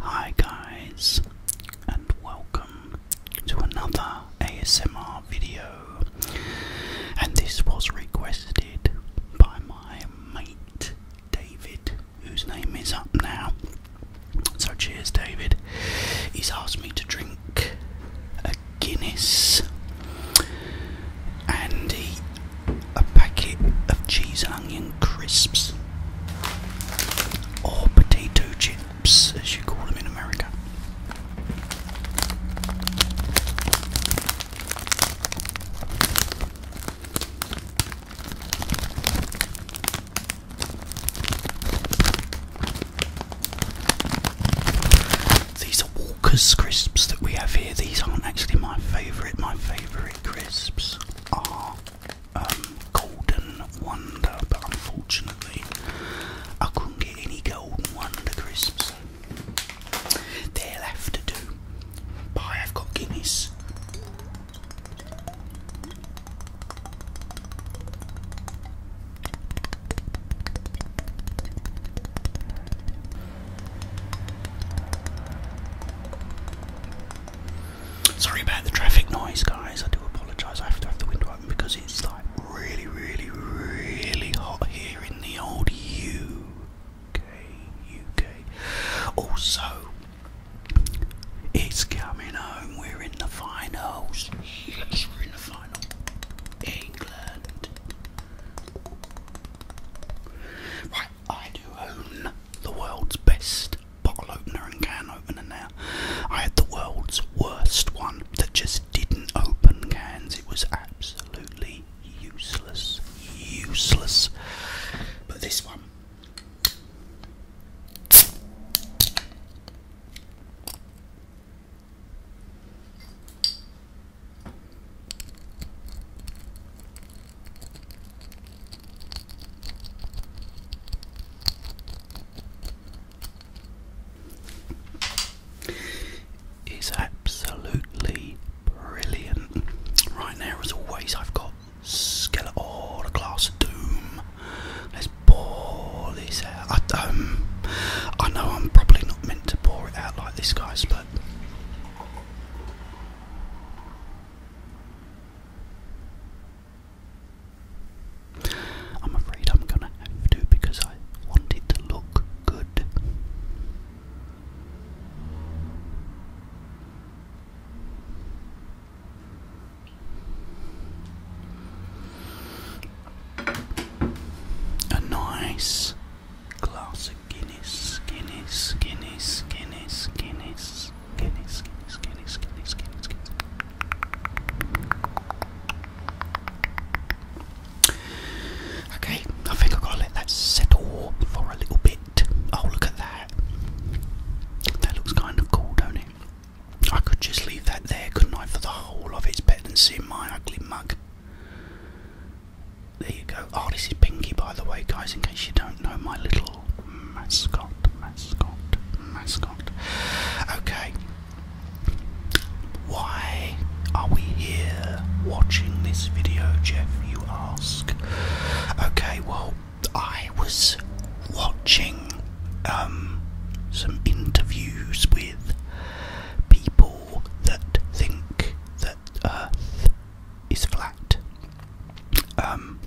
Hi guys and welcome to another ASMR video and this was requested by my mate David whose name is up now. So cheers David. He's asked me to drink a Guinness and eat a packet of cheese and onions crisps, or potato chips as you call them in America. These are Walker's crisps that we have here. These aren't actually my favourite. My favourite crisps are um, golden Wonder, but unfortunately, I couldn't get any Golden Wonder crisps. They'll have to do. But I have got Guinness. Sorry about the traffic noise, guys. I do apologise. I have to have the window open because it's like really, really, really hot here in the old UK. UK. Also, it's coming home. We're in the finals. Yes, we're in the final. England. Right, I do own the world's best bottle opener and can opener now. I had the world's worst one that just didn't open cans. It was absolutely useless. Useless. But this one. It's absolutely brilliant. Right now, as always, I've got skeleton a glass of doom. Let's pour this out. Um, I know I'm probably not meant to pour it out like this, guys, but. I'm afraid I'm gonna have to because I want it to look good. A nice glass Guinness, Guinness, Guinness, Guinness, Guinness, Guinness, Guinness, Guinness, Guinness, Guinness, Okay, I think I've got to let that settle for a little bit. Oh, look at that. That looks kind of cool, don't it? I could just leave that there, couldn't I, for the whole of It's better than seeing my ugly mug there you go. Oh, this is Pinky, by the way, guys, in case you don't know, my little mascot, mascot, mascot. Okay, why are we here watching this video, Jeff? You ask. Okay, well, I was watching um, some interviews with people that think that Earth is flat. Um,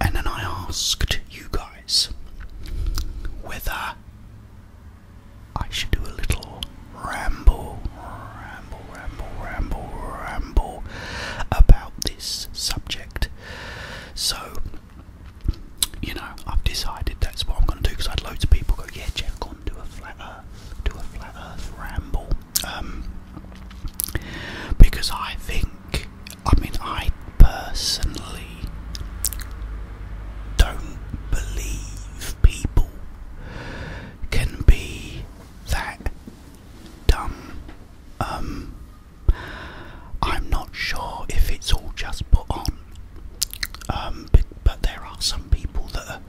and then I asked you guys whether I should do a little ramble, ramble, ramble, ramble, ramble about this subject. So, you know, I've decided that's what I'm going to do because I had loads of people go, yeah, Jeff, go on, do a flat earth, do a flat earth ramble. Um, because I think, I mean, I personally don't believe people can be that dumb. Um, I'm not sure if it's all just put on, um, but, there are some people that are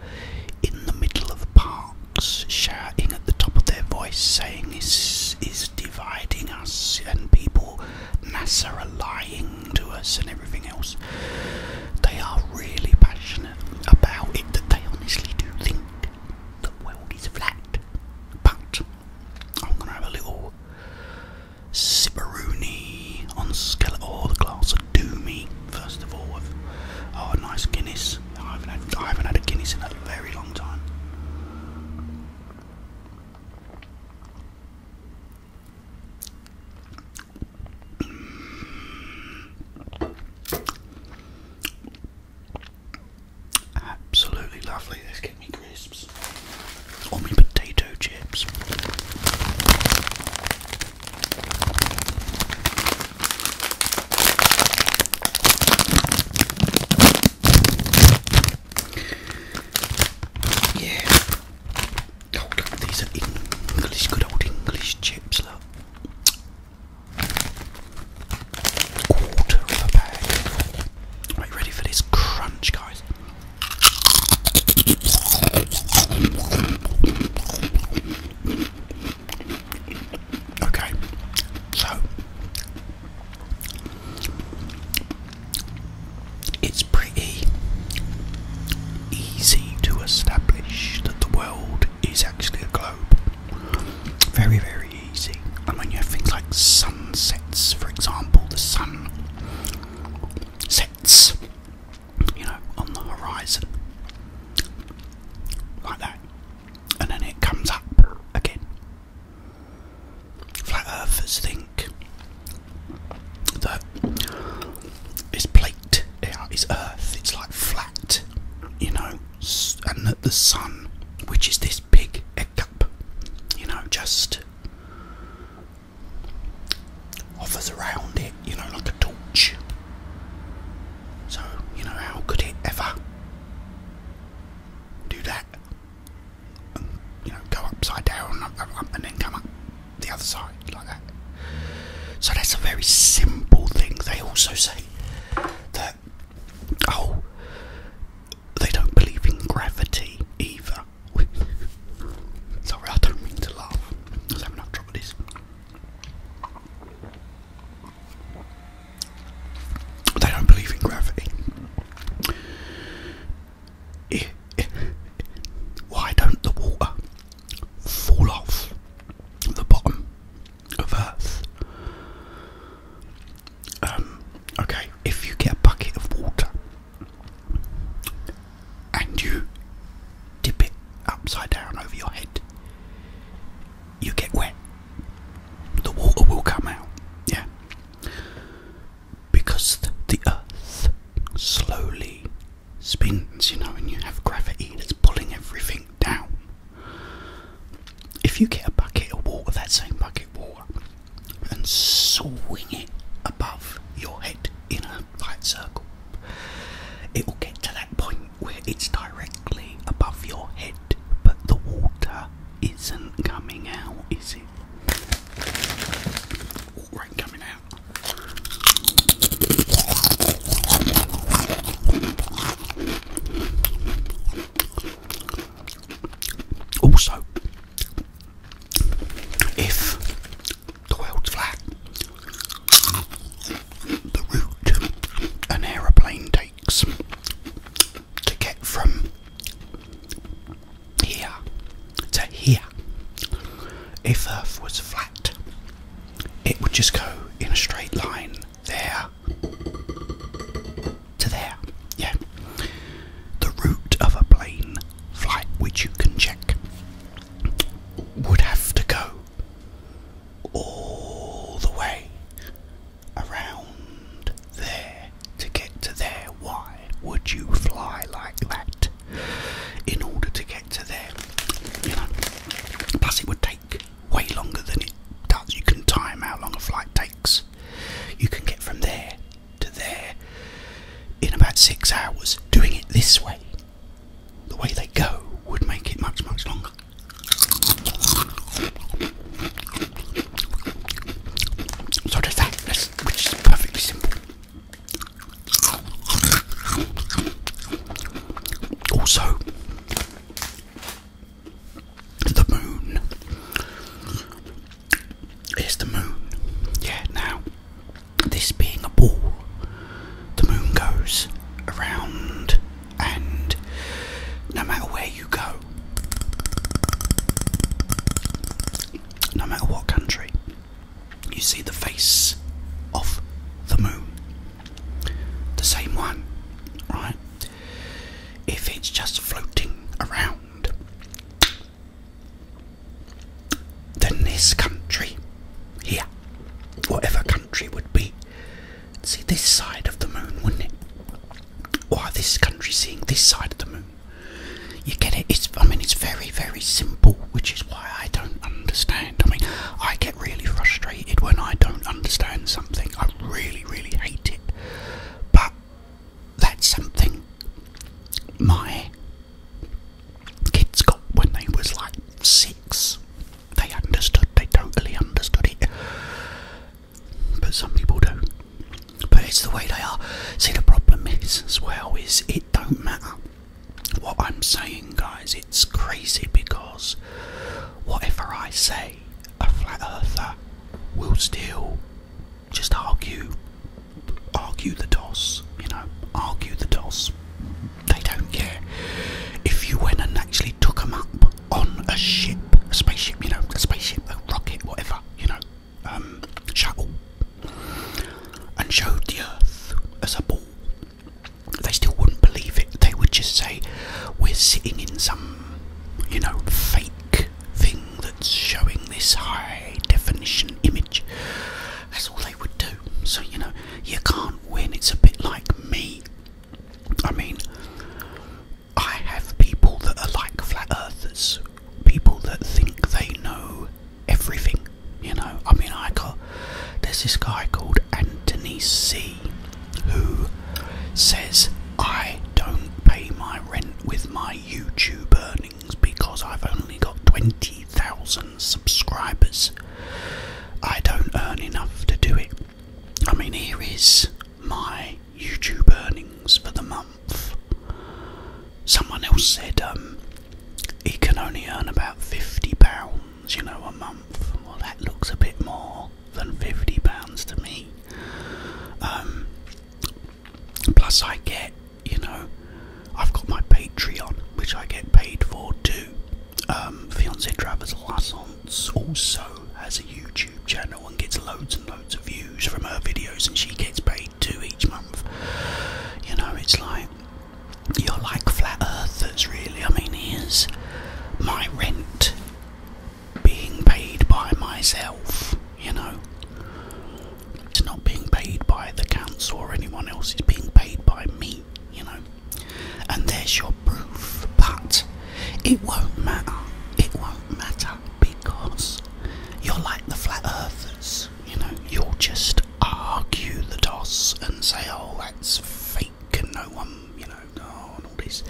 in the middle of park shouting at the top of their voice, saying, This is dividing us, and people, NASA are lying to us, and everything else. They are really passionate about it, that they honestly do think the world is flat. But I'm going to have a little Sipperoonie on the Skeletor, the glass of Doomy, first of all. With, oh, nice Guinness. I haven't had, a Guinness in a very long time. Absolutely lovely. Let's me crisps or me potato chips. Yeah. these are English, good old English chips, look. Quarter of a bag. Are you ready for this crunch, guys? Okay, so it's pretty easy to establish that the world is actually a globe. Very, very easy. And when you have things like sunsets, for example, the sun sets, you know, on the horizon like that, and then it comes up again. Flat earthers think that is plate is earth, it's like flat, you know, and that the sun, which is this big egg cup, you know, just offers around it, you know, like a torch. So, you know, how could it ever do that? And, you know, go upside down uh, uh, and then come up the other side like that. So that's a very simple thing. They also say that, oh, they don't believe in gravity either. Sorry, I don't mean to laugh. I was having enough trouble with this. They don't believe in gravity. Why don't the water fall off the bottom of Earth? Um, okay, if you get a bucket of water and you dip it upside down over your head, you get wet. The water will come out, yeah, because the earth slowly spins, you know, and you have gravity that's pulling everything down. If you get a bucket of water, that same bucket of water, and swing it above your head in a right circle. It will get to that point where it's directly above your head, but the water isn't coming out, is it? Water coming out. Also, if the world's flat, the route an aeroplane takes to get from here to here. If Earth was flat, it would just go in a straight line there to there. Yeah. The route of a plane flight, which you can check would have to go all the way around there to get to there. Why would you fly like that in order to get to there? You know, plus it would take way longer than it does. You can time how long a flight takes. You can get from there to there in about six hours doing it this way the way they go would make it much, much longer. So there's that, which is perfectly simple. Also, the moon. Here's the moon. Yeah, now this being a ball, the moon goes around, and no matter where you go, no matter what country, you see the face of the moon. The same one, right? If it's just floating around, than this country here, whatever country would be. See this side of the moon, wouldn't it? Why this country seeing this side of the moon? You get it? It's I mean it's very very simple, which is why I don't understand. I mean I get really frustrated when I don't understand something. I really really hate it, but that's something my kids got when they was like six. They understood, they totally understood it. But some people don't. But it's the way they are. See, the problem is, as well, is it don't matter what I'm saying, guys. It's crazy because whatever I say, a flat earther will still just argue, argue the DOS, you know, argue the DOS. They don't care. If you went and actually took them up on a ship, a spaceship, you know, a spaceship, a rocket, whatever, you know, um, shuttle, and showed the Earth as a ball, they still wouldn't believe it. They would just say, We're sitting in some, you know, fake thing that's showing this high definition image. That's all they would do. So, you know, you can't win. It's a bit like me. I mean, I have people that are like flat earthers, people that think they know everything. You know, I mean, I got there's this guy called Anthony C who says, I don't pay my rent with my YouTube earnings because I've only got 20,000 subscribers. I don't earn enough to do it. I mean, here is my YouTube earnings for the month. Someone else said um, he can only earn about fifty pounds, you know, a month. Well, that looks a bit more than fifty pounds to me. Um, plus, I get you know, I've got my Patreon, which I get paid for too. Um, Fiance Travers also has a YouTube channel and gets loads and loads of views from her videos, and she gets paid too each month. You know, it's like you're like flat earthers, really. I mean, is my rent being paid by myself, you know. It's not being paid by the council or anyone else, it's being paid by me, you know. And there's your proof, but it won't matter. It won't matter because you're like the flat earthers, you know, you'll just argue the toss and say, oh, that's fake and no one, you know, oh, all this.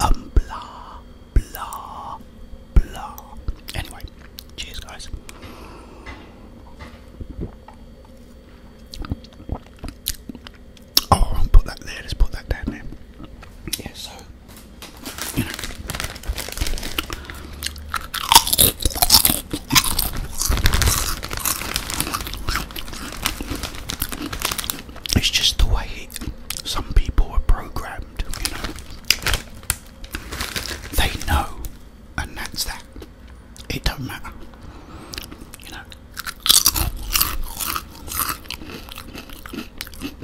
Um, blah, blah, blah. Anyway, cheers, guys. Oh, put that there. Let's put that down there. Yeah, you know. It's just the way some people are programmed, you know. They know, and that's that it don't matter. You know,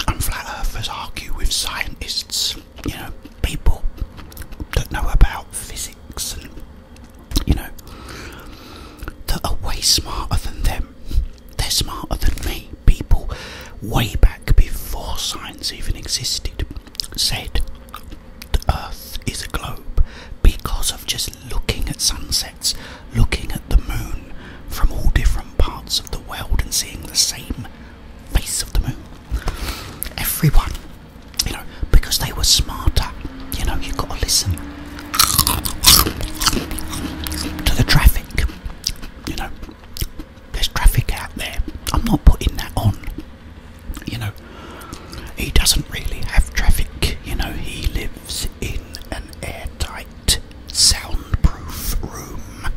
and flat earthers argue with scientists. You know, people that know about physics and you know that are way smarter than them. They're smarter than me. People way back before science even existed said the Earth is a globe because of just looking at sunsets, looking at the moon from all different parts of the world and seeing the same face of the moon. Everyone, you know, because they were smarter, you know, you've got to listen to the traffic, you know. There's traffic out there. I'm not putting that on. You know, he doesn't really have traffic, you know, he lives in an airtight, soundproof room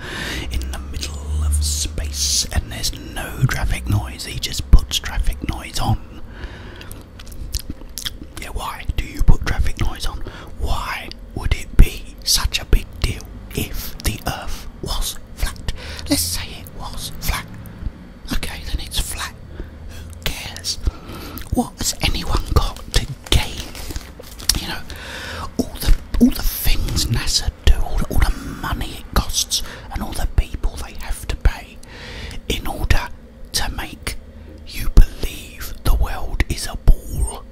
in the middle of space and there's no traffic noise, he just puts traffic noise on. Yeah, why do you put traffic noise on? Why would it be such a big deal if the earth was flat? Let's say it was flat. Okay, then it's flat. Who cares? What has anyone got to gain? You know, all the all the things NASA do, all the, all the money it costs, and all the people they have to pay in order to make you believe the world is a ball.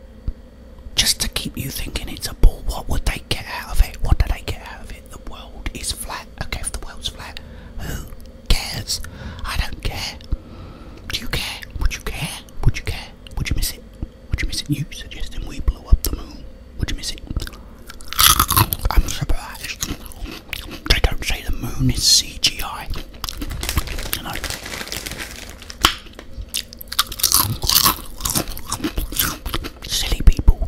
Just to keep you thinking it's a ball. What would they get out of it? What do they get out of it? the world is flat. Okay, if the world's flat, who cares? I don't care. Do you care? Would you care? Would you care? Would you miss it? Would you miss it? You suggesting we blow up the moon? Would you miss it? I'm surprised. They don't say the moon is CGI. You know. Silly people.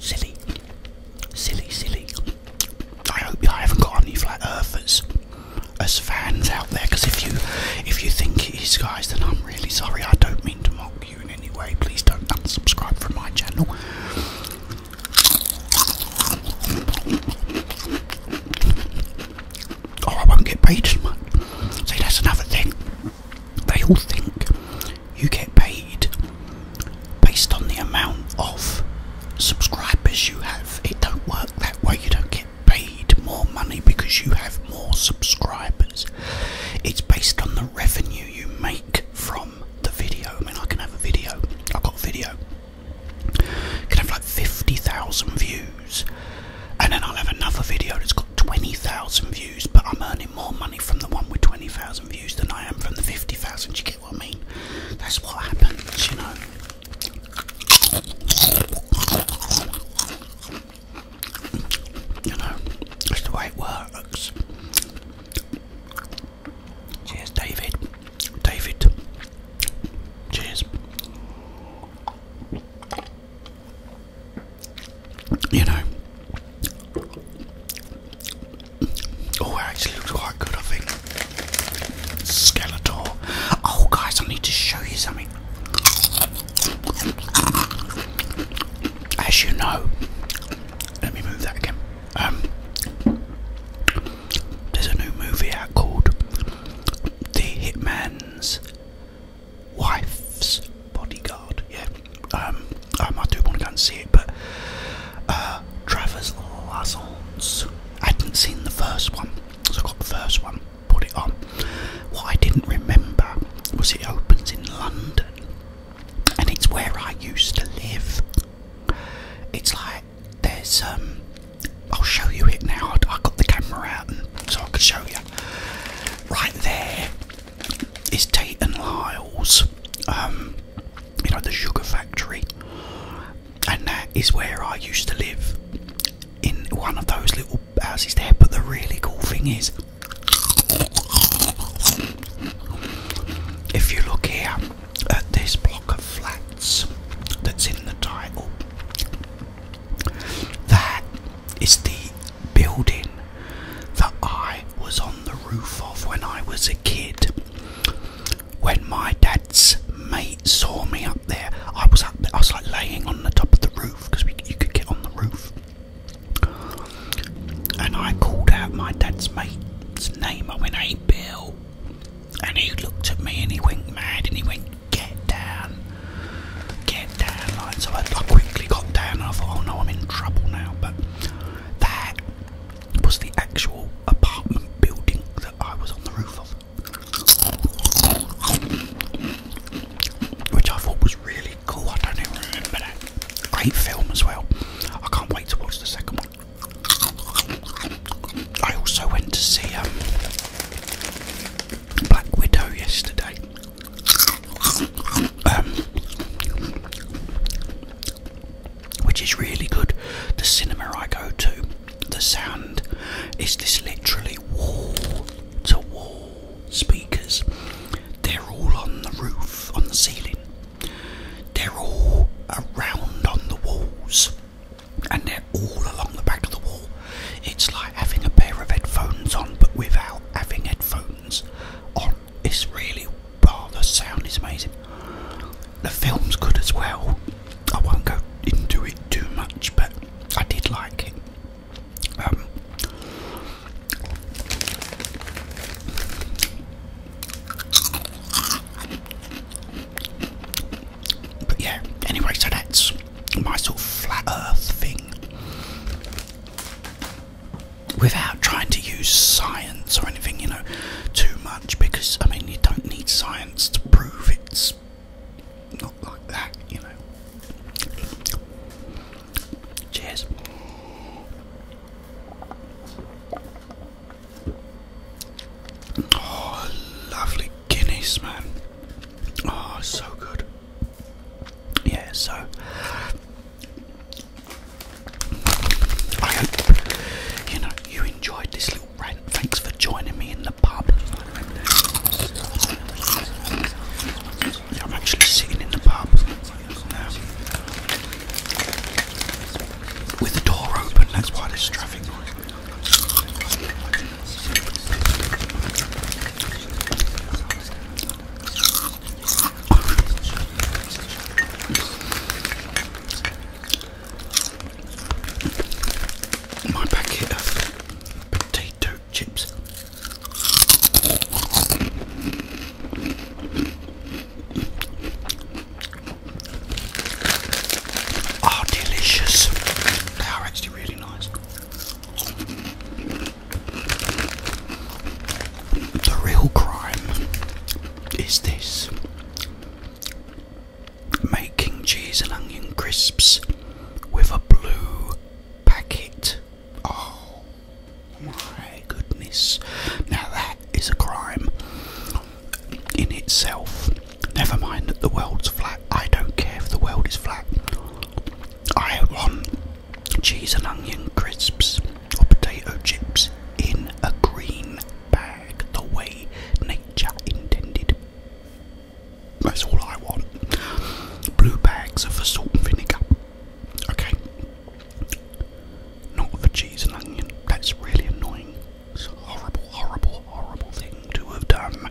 Silly. Silly, silly. I hope I haven't got any flat earthers as fans out there because if you if you think it is guys then I'm really sorry I don't mean to mock you in any way please don't unsubscribe from my channel or I won't get paid much see that's another thing they all think you get paid based on the amount of subscribers you have. It don't work that way. You don't get paid more money because you have more subscribers. It's based on the revenue you make from the video. I mean, I can have a video. I've got a video. I can have like 50,000 views. And then I'll have another video that's got 20,000 views, but I'm earning more money from the one with 20,000 views than I am from the 50,000. You get what I mean? That's what happens, you know. You know, that's the way it works. Cheers, David. David. Cheers you know. Oh, it actually looks quite good, I think. Skeletor. Oh, guys, I need to show you something. As you know, let me move that again. Um, there's a new movie out called The Hitman's wife's bodyguard. Yeah, um, um I do want to go and see it, but uh, Travers I hadn't seen the first one, so I got the first one, put it on. What I didn't remember was it opens in London, and it's where I used to live. It's like there's um, I'll show you it now. I got the camera out, so I could show you. Right there is Tate and Lyle's, um, you know, the sugar factory, and that is where I used to live in one of those little houses there. But the really cool thing is, if you look here at this block of flats that's in the title, that it's the building that I was on the roof of when I was a kid. When my dad's mate saw me up there, I was up I was like laying on the top of the roof because you could get on the roof. And I called out my dad's mate's name. I went, "Hey, Bill," and he looked at me and he went mad and he went, "Get down!" get down so I, quickly got down and I thought oh no I'm in trouble now but that was the actual apartment building that I was on the roof of which I thought was really cool I don't even great film as well I can't wait to watch the second one I also went to see um, Black Widow yesterday um, which is really good. The cinema I go to, the sound is this literally wall to wall speakers. They're all on the roof, on the ceiling. They're all around on the walls, and they're all along the back of the wall. It's like having a pair of headphones on, but without having headphones. Evans It's really, oh, the sound is amazing. The film's good as well. I won't go into it too much, but I did like it. Um, but yeah, anyway, so that's my sort of flat earth thing without trying to use science or anything, you know, too much because I mean, you don't need science to prove it's not like that, you know. Cheers. Oh, lovely Guinness, man. Oh, so good yeah, so I hope you know you enjoyed this little rant. Thanks for joining me in the pub. Yeah, I'm actually sitting in the pub with the door open. That's why there's traffic. My packet of potato chips. Are ah, delicious. They are actually really nice. The real crime is this making cheese and onion crisps with a blue packet. Oh my goodness. Now that is a crime in itself. Never mind that the world's flat. I don't care if the world is flat. I want cheese and onion crisps or potato chips in a green bag the way nature intended. That's all I want. Blue bags are for salt and vinegar. Okay. Not for cheese and onion. That's really annoying. It's a horrible, horrible, horrible thing to have done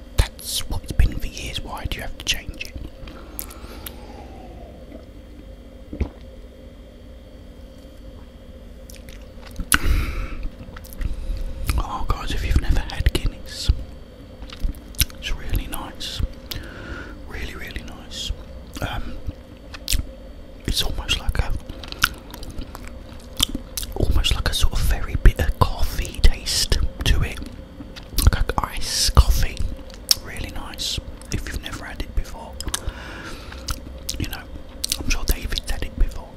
that's what it's been for years. Why do you have to change it? Oh, guys, if you've never had Guinness, it's really nice. Really, really nice. Um, it's almost like a almost like a sort of very bitter coffee taste to it, like ice coffee. Really nice if you've never had it before. You know, I'm sure David's had it before.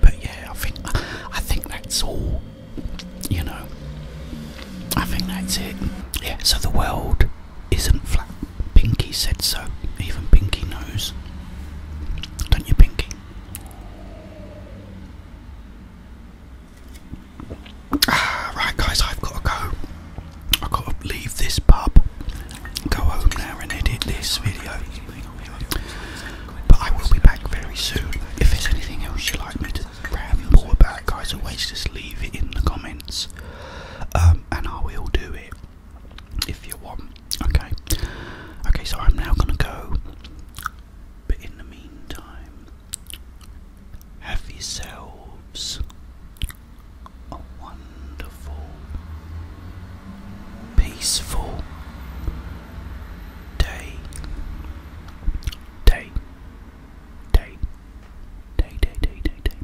But yeah, I think I think that's all. You know, I think that's it. Yeah. So the world isn't flat. Pinky said so. Even Pinky knows. Don't you, Pinky? right, guys, I've got to go. I've got to leave this pub, go home now, and edit this video. But I will be back very soon. If there's anything else you'd like me to ramble about, guys, always just leave it in the comments, um, and I will do it if you want. Okay. Okay, so I'm now gonna go. But in the meantime, have yourselves a wonderful, peaceful day. Day. Day. Day, day, day, day, day.